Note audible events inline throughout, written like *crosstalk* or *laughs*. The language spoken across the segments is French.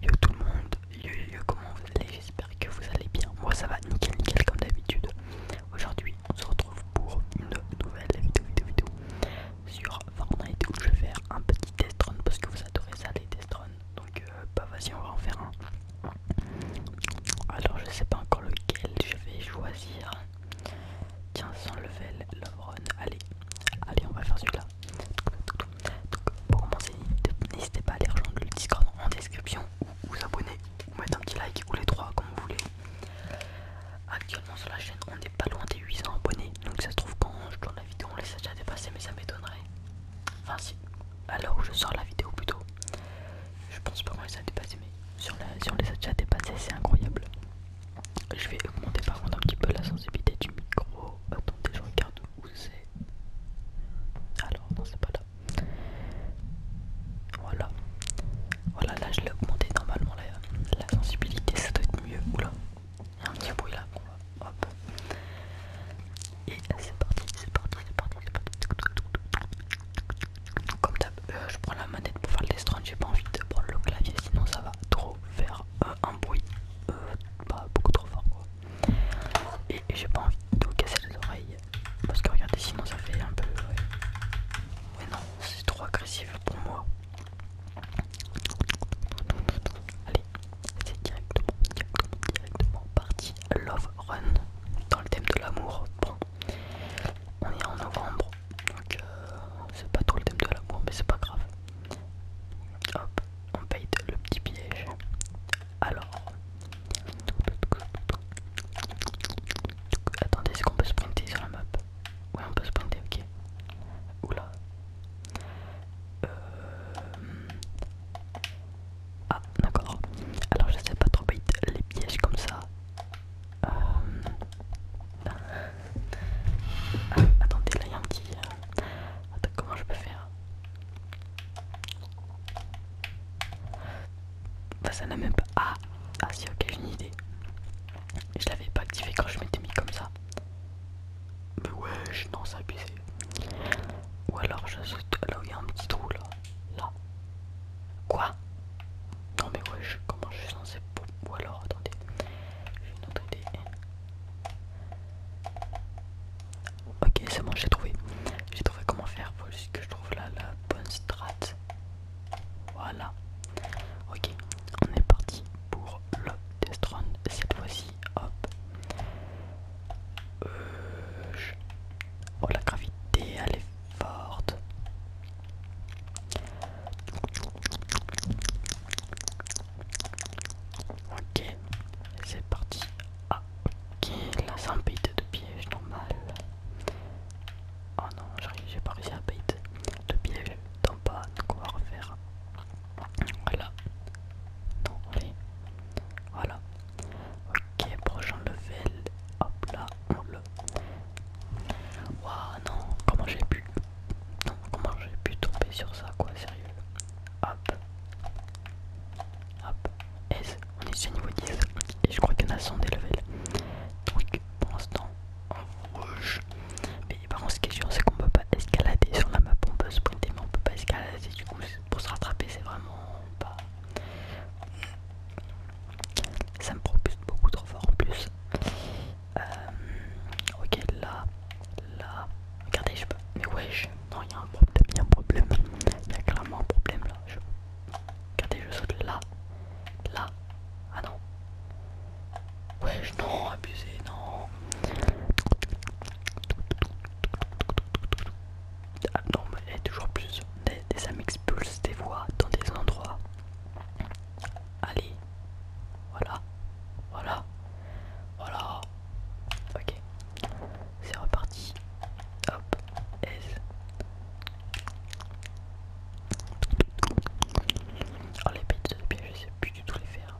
Yo tout le monde, yo yo, comment vous allez J'espère que vous allez bien. Moi ça va nickel nickel comme d'habitude. Aujourd'hui on se retrouve pour une nouvelle vidéo vidéo vidéo sur Fortnite où je vais faire un petit test run parce que vous adorez ça les test run. Donc euh, bah vas-y on va en faire un. Alors je sais pas encore lequel je vais choisir. Tiens sans level love run. Allez Allez, on va faire celui-là. Donc, pour commencer, n'hésitez pas à aller rejoindre le Discord en description ou vous abonner ou mettre un petit like ou les trois comme vous voulez. Actuellement sur la chaîne, on est pas loin des 800 abonnés. Donc ça se trouve quand je tourne la vidéo, on les a déjà dépassés, mais ça m'étonnerait. Enfin si, alors je sors la vidéo plutôt. Je pense pas qu'on les a dépassés, mais sur si on les a déjà dépassés, c'est incroyable. Je vais augmenter par contre un petit peu la sensibilité du micro. Attendez, je regarde où c'est alors non c'est pas là voilà voilà là je l'ai augmenté normalement la, sensibilité ça doit être mieux oula il y a un petit bruit là hop et c'est parti c'est parti c'est parti c'est parti comme ça, euh, je prends la manette pour faire le test je j'ai pas envie de prendre le clavier sinon ça va trop faire un bruit pas euh, bah, beaucoup trop fort quoi. Et, j'ai pas envie de vous casser les oreilles parce que regardez sinon ça fait un peu... mais non, c'est trop agressif pour moi. Allez, c'est directement, directement, parti Love Run dans le thème de l'amour. on est en novembre, donc euh, c'est pas trop le thème de l'amour, mais c'est pas grave. Hop, on paye le petit piège. Alors, attendez, est-ce qu'on peut sprinter sur la map Ouais, on peut sprinter, ok. Oula. Euh, ah, d'accord. Alors, je sais pas trop bait les pièges comme ça. Euh, ah, attendez, là il y a un petit. Euh, attends, comment je peux faire bah, ça n'a même pas. Ah, ah si, ok, j'ai une idée. Je l'avais pas activé quand je m'étais mis comme ça. Mais wesh, non, ça a Ou alors je là il y a un petit trou là. Là. Quoi Non mais wesh, comment je suis censé... Ou alors attendez. J'ai une autre idée. Ok, c'est bon, j'ai trouvé. J'ai trouvé comment faire. Faut que je trouve là la bonne strat. Voilà. Ok, on est parti pour le test Cette fois-ci, hop. Euh, oh, la gravité, elle est forte. Ok, c'est parti. Ah, ok, là c'est un de piège normal. Oh non, j'ai pas réussi à bait de piège dans pas. donc on va refaire. Voilà. Non, allez. Voilà. Ok, prochain level. Hop là, on le. Waouh, non, comment j'ai pu non, comment j'ai pu tomber sur ça, quoi, sérieux Hop. Hop. S. On est déjà niveau 10. Et je crois qu'il y en a 100 des levels. Donc, pour l'instant, en rouge. Mais par contre, ce qui est sûr, c'est qu'on peut pas escalader sur la map. On peut sprinter, mais on peut pas escalader. Du coup, pour se rattraper, c'est vraiment pas. Ça me propulse beaucoup trop fort en plus. Euh, ok, là, là. Regardez, je peux. Mais wesh, non, il y a un problème, il y a problème. y a clairement un problème là. Regardez, je saute là, là. Ah non. Wesh, non, abusé, non. Ah non, mais toujours plus. Des, des ça m'expulse des voix dans des endroits Allez. Voilà. Voilà. Voilà. Ok. C'est reparti. Hop. S. Oh les de je sais plus du tout les faire.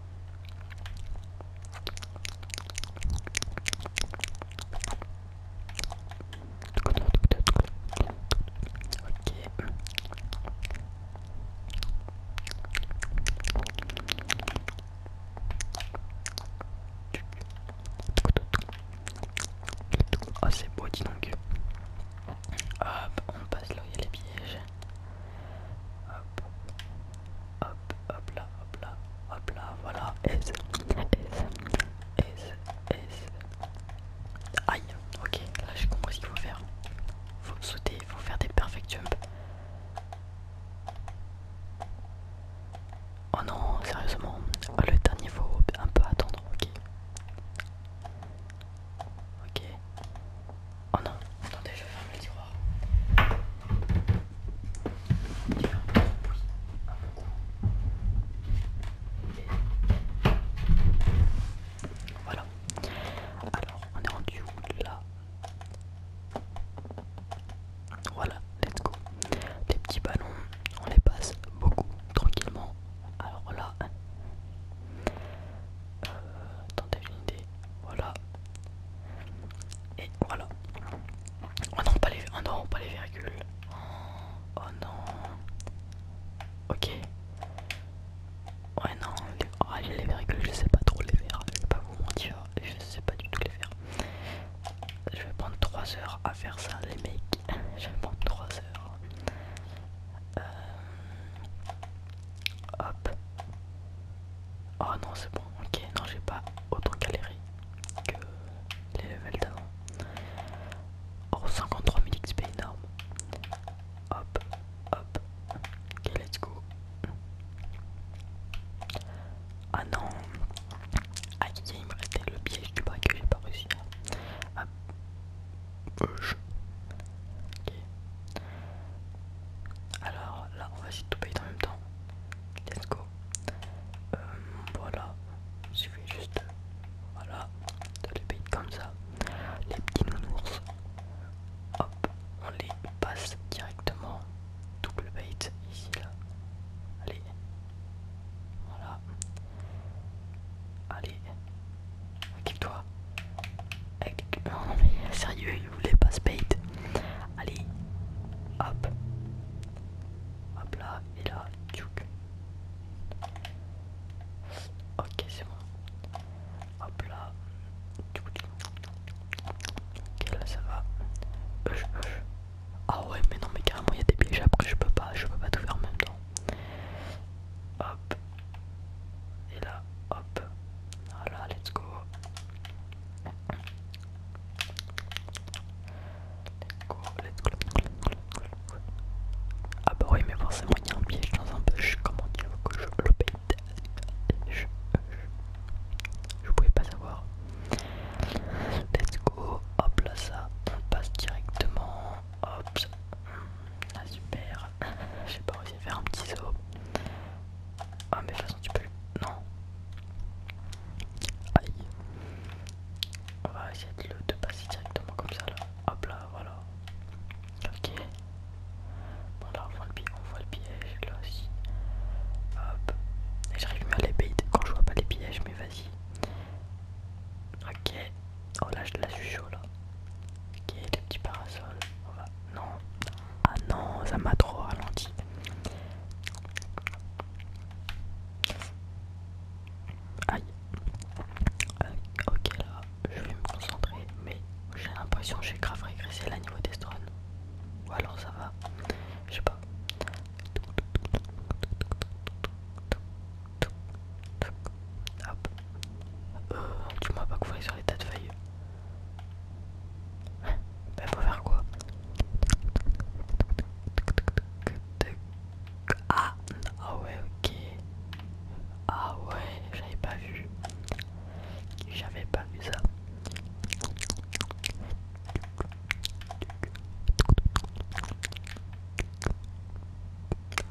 Oh c'est beau dis donc Hop on passe là où il y a les pièges Hop Hop hop là hop là hop là voilà S S S S Aïe ok là j'ai compris ce qu'il faut faire Faut sauter il faut faire des perfect jumps. Oh non, sérieusement, le dernier faut un peu attendre, ok. Ok. Oh non, attendez, je ferme le tiroir. Voilà. Alors, on est rendu là Voilà, let's go. des petits ballons, on les passe beaucoup, tranquillement. Alors là, euh, t'as une idée, voilà. Et voilà. On oh non, pas les, oh non, pas les virgules. Oh non. Ok. Ouais non, les, les que je sais pas trop les faire, je vais pas vous mentir, je sais pas du tout les faire. Je vais prendre 3 heures à faire ça les mecs, *laughs* je vais prendre 3 heures. Euh... Hop. Oh non c'est bon, ok, non j'ai pas autant galéré que les levels d'avant. Oh 53 000 XP énorme. Hop. Hop. Ok, let's go. Ah non. Ah, il me restait le piège du bac que j'ai pas réussi à. Alors là, on va essayer de tout payer en même temps. Let's go. Euh, voilà. Il suffit juste. Voilà. De le payer comme ça. Les petits nounours, hop, on les passe directement. Double bait ici là. Allez. Voilà. Allez. Active-toi. non, mais sérieux, il voulait pas se bait. Allez. Hop. Hop là et là. Ok c'est bon. Hop là. Ok là ça va. Ah ouais mais non mais carrément il y a des pièges après je peux pas je peux pas tout faire en même temps. Hop. Et là, hop. Voilà, let's go, let's go, let's go, let's go, ah bah oui mais forcément il y a un piège dans un bush, comment dire que je le je, je, je pouvais pas savoir. Let's go, hop là ça, on passe directement, hop, ah super, j'ai pas réussi à faire un petit saut. Ah mais de toute façon tu peux... Non. Aïe. On va essayer de, le, de passer directement comme ça là. Hop là voilà, Ok. Voilà, on voit le, on voit le piège là aussi. Hop. Et j'arrive mieux à les bait quand je vois pas les pièges, mais vas-y. Ok. Oh là, je, la suis chaud là. Ok, les petits parasols. On va... Non. Ah non, ça m'a trop ralenti. Aïe. Euh, ok là je vais me concentrer, mais j'ai l'impression que j'ai grave régressé là niveau strones Ou alors ça va, je sais pas. tu euh, m'as pas couvert sur les tas de feuilles. Bah, faut faire quoi ah, ah ouais, ok. Ah ouais, j'avais pas vu. J'avais pas vu ça.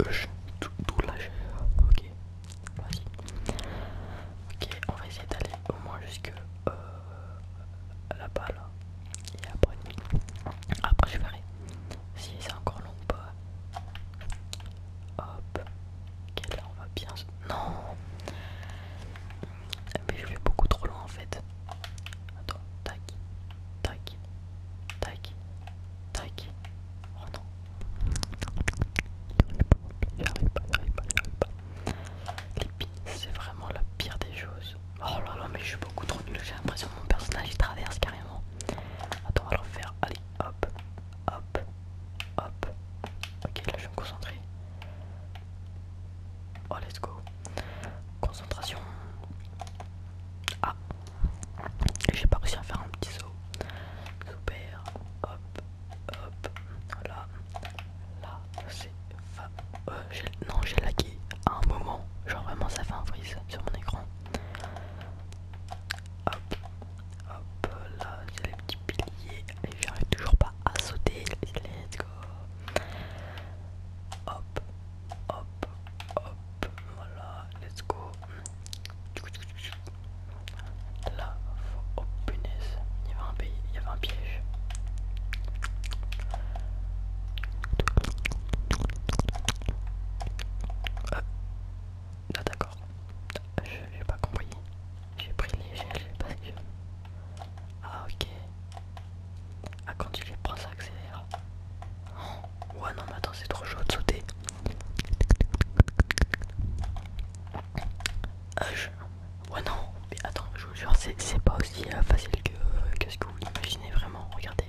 Je, tout, tout Ok, vas-y. Ok, on va essayer d'aller au moins jusque euh, là-bas Et après, après je verrai si c'est encore long pas. Hop. quelle là on va bien Non Mais je vais beaucoup trop loin en fait. Attends, tac, tac, tac, tac. Oh non. J'arrive pas, pas, pas. c'est vraiment la pire des choses. Oh là là, mais je suis beaucoup trop nul. J'ai l'impression que mon personnage il traverse carrément. Attends, on va le refaire. Allez, hop, hop, hop. Ok, là je vais me concentrer. Oh, let's go. Concentration. Ah, j'ai pas réussi à faire un petit saut. Super, hop, hop. Là, là, c'est euh, non, j'ai lagué à un moment. Genre vraiment, ça fait un frise sur mon écran. Hop, hop, là, j'ai les petits piliers. j'arrive toujours pas à sauter. Let's go. Hop, hop, hop. Voilà, let's go. Là, faut... Oh, punaise, un, il y avait un piège. Euh, ah d'accord. Je n'ai pas compris. J'ai pris les parce Ah ok. Ah quand tu les prends ça accélère. Oh. Ouais non mais attends c'est trop chaud de sauter. Ah, ouais non, mais attends, je vous jure, c'est pas aussi euh, facile que, que ce que vous imaginez vraiment. Regardez,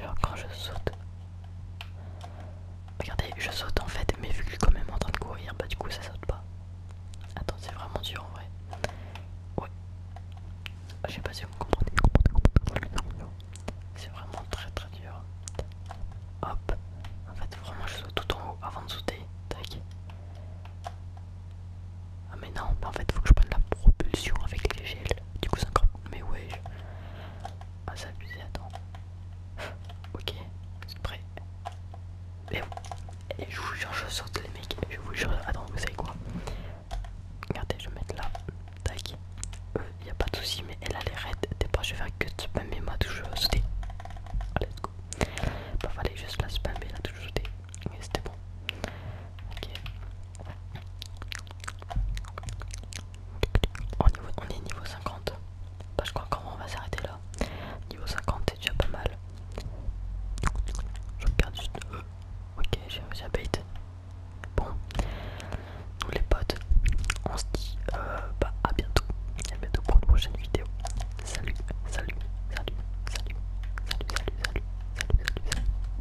Genre quand je saute. Regardez, je saute en fait, mais vu que je suis quand même en train de courir, bah du coup ça saute pas. Attends, c'est vraiment dur en vrai. Ouais. Je sais pas si vous comprenez. C'est vraiment très très dur. Hop. En fait, vraiment, je saute tout en haut avant de sauter. Tac. Ah mais non, en fait, faut que je prenne la propulsion avec les gels du coup c'est encore. Mais ouais. Ah, c'est abusé, attends. *laughs* ok, c'est prêt. Et, je vous jure, je saute les mecs. Je vous jure, attends, vous savez quoi Regardez, je vais mettre là. Tac. Il euh, n'y a pas de souci, mais elle a les raides. des je vais faire que de moi ma touche sauter. Allez, let's go. pas bah, fallait juste la spammer la toujours sauté Mais c'était bon. Ok. On, est niveau 50. je crois qu'on va s'arrêter là. Niveau 50, c'est déjà pas mal. Je regarde juste. Euh, ok, j'ai réussi à bait. Bon, nous les potes, on se dit euh, bah, à bientôt. À bientôt pour une prochaine vidéo. Salut, salut, salut, salut, salut, salut, salut, salut, salut. salut.